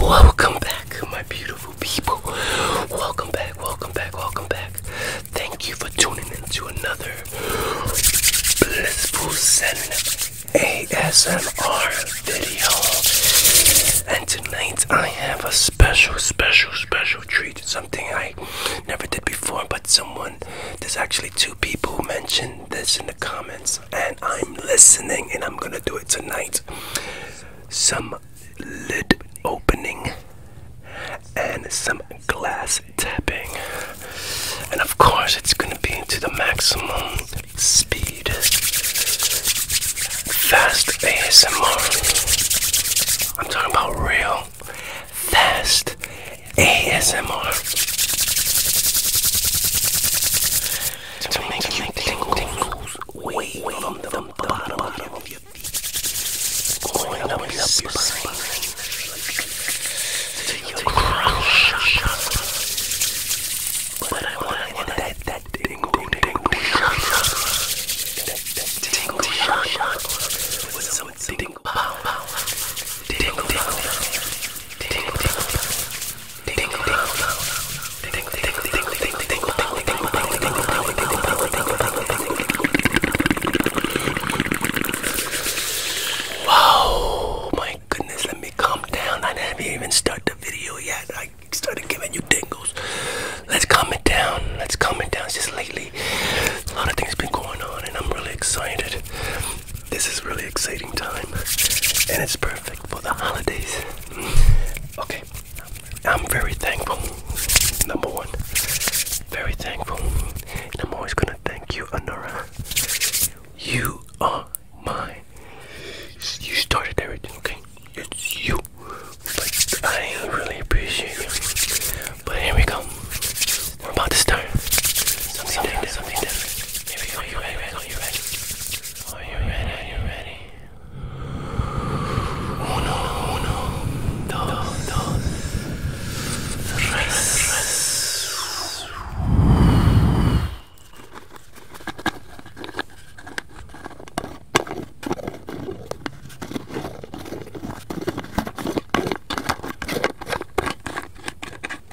Welcome back, my beautiful people. Welcome back, welcome back, welcome back. Thank you for tuning into another Blissful Zen ASMR video. And tonight I have a special, special, special treat. Something I never did before, but someone, there's actually two people mentioned this in the comments and I'm listening and I'm gonna do it tonight. Some lid opening and some glass tapping. And of course, it's gonna be to the maximum speed. Fast ASMR. I'm talking about real fast ASMR to, to make, make you tingles, tingles way, way from the, the bottom, bottom of your feet, going up, up your spine, spine to your crown chakra. But I want to that that tingle, tingle, tingle chakra, that that tingle chakra with some tingle power, tingle, tingle, tingle, tingle. Wow, my goodness, let me calm down. I haven't even started the video yet. I started giving you tingles. Let's calm it down. Let's calm it down. It's just lately, a lot of things been going on, and I'm really excited. This is really exciting time, and it's perfect for the holidays. Okay, I'm very thankful. Number one, very thankful, and I'm always gonna thank you, Honora. You are my. You started everything, okay? It's you. But I really appreciate you. But here we go. We're about to start. Something, different. Something different. Here we go. You ready? You ready? Are you ready? Are you ready? Uno, uno, dos, dos, tres, tres.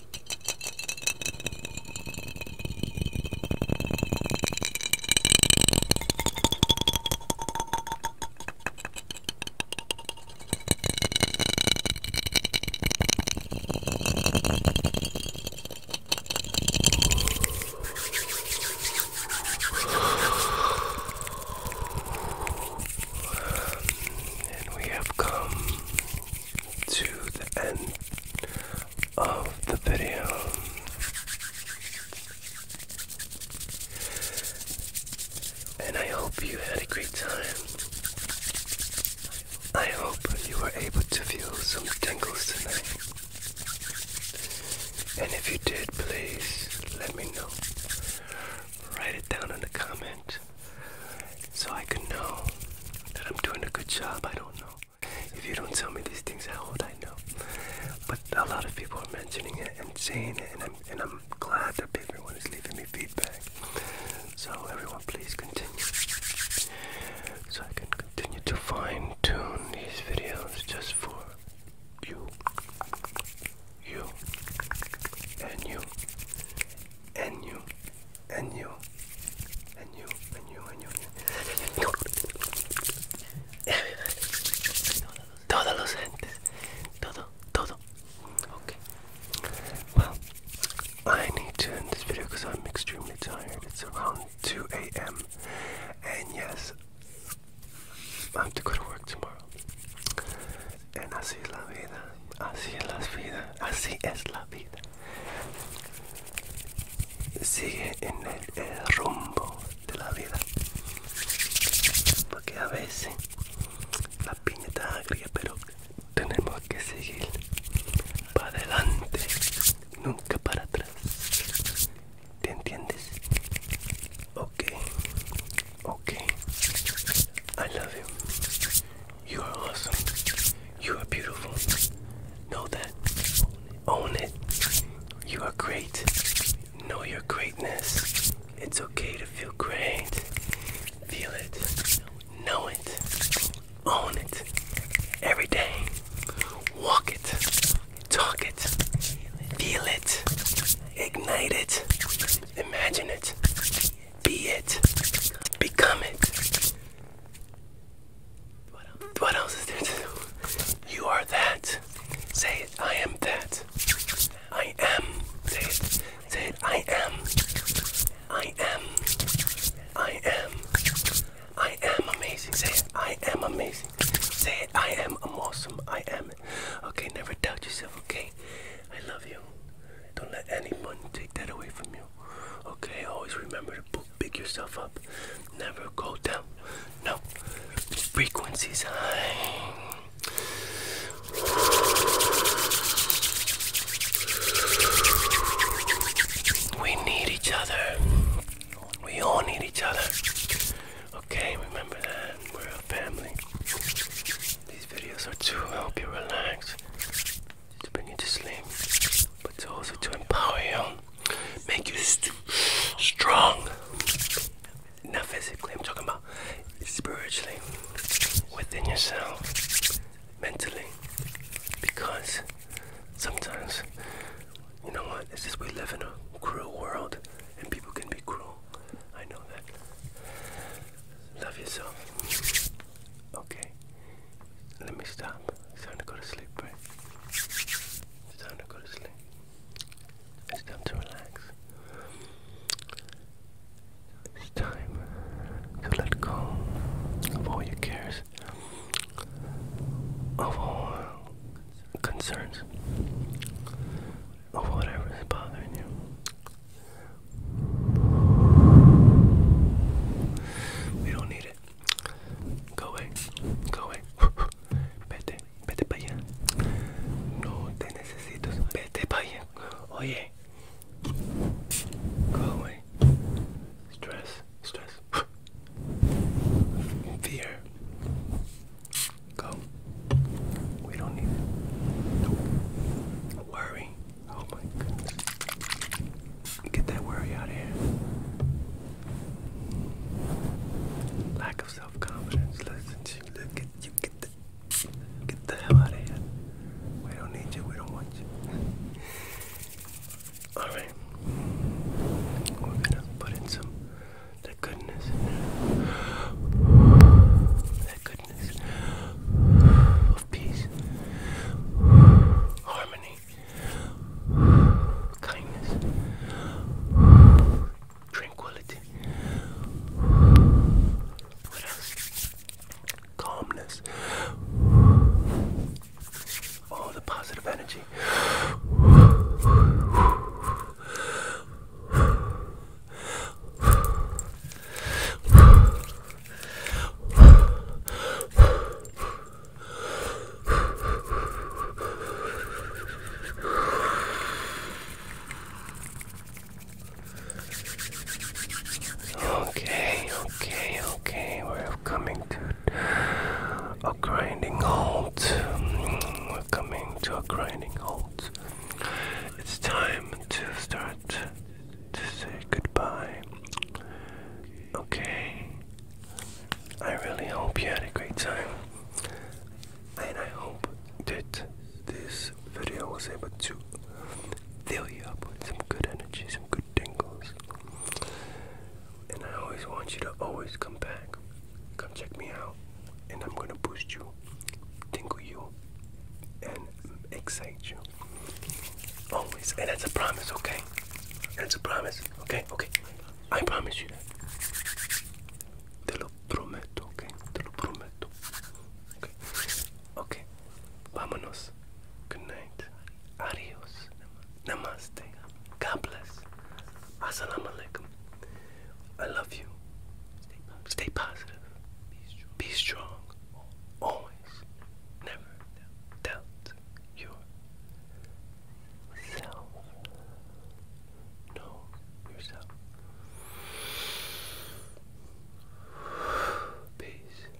And we have come to the end of the video. And I hope you had a great time. I hope you were able to feel some tingles tonight. And if you did, please let me know. Write it down in the comment so I can know that I'm doing a good job. I don't know. If you don't tell me these things, how would I know? But a lot of people are mentioning it and saying it, and I'm, and I'm glad that everyone is leaving me feedback. So, everyone, please continue. So, I can continue to fine tune these videos just for you, you, and you, and you, and you, and you, and you, and you. Todos los gentes, todo, todo. Okay. Well, I need to end this video because I'm extremely tired. It's around 2 a.m. And yes, I have to go to work tomorrow. así es la vida, así es la vida, así es la vida. Sigue en el, rumbo de la vida. Porque a veces la piña está agria, pero tenemos que seguir para adelante, nunca para atrás. ¿Te entiendes? Ok, ok. I love you. You are awesome. You are beautiful. Know that. Own it. You are great. Know your greatness. It's okay to feel great. Feel it. Know it. Own it. Every day. Walk it. Talk it. Feel it. Ignite it. Imagine it. Be it. Become it. What else? what else is there to do? You are that. Say it. I am that. I am. Say it. Say it. I am. I am. I am. I am amazing. Say it. I am amazing. Say it. I am awesome. I am. Okay, never doubt yourself, okay? I love you. Don't let anyone take that away from you. Okay, always remember to pick yourself up. Never go down. No. Frequencies high. We need each other. We all need each other. Okay, remember that. We're a family. These videos are to help you relax, to bring you to sleep, but also to empower you, make you strong. Not physically, I'm talking about spiritually, within yourself, mentally, because sometimes, you know what, it's just we live in a cruel world and people can be cruel. I know that. Love yourself. Okay. Let me stop. It's time to go to sleep, It's time to go to sleep. It's time to relax. It's time to let go of all your cares, of all concerns, of whatever is bothering you. We don't need it. Go away. Go away. Vete. Vete para allá. No te necesito. Vete para allá. Oye. Go away. Stress. Stress. Fear. Go. We don't need it. Nope. Worry. Oh my goodness. Get that worry out of here. Lack of self confidence. Listen to you. Get the, get the hell out of here. We don't need you. We don't want you. Alright. We're gonna put in some. That goodness That goodness of peace, harmony, kindness, tranquility. Calmness. All the positive energy. Okay, okay, okay, we're coming to a grinding halt. Mm, we're coming to a grinding halt. It's time to start to say goodbye. Okay. I really hope you had a great time. And I hope that this video was able to fill you up with some good energy, some good tingles. And I always want you to always come back. Come check me out. And I'm gonna boost you tingle you, and excite you. Always. And that's a promise, okay? That's a promise, okay? Okay. I promise you that. Te lo prometo, okay? Te lo prometo. Okay. Okay. Vámonos. Good night. Adios. Namaste. God bless. Assalamu I love you. Stay positive. Be, strong. Be strong. Always. Never doubt yourself. Know yourself. Peace.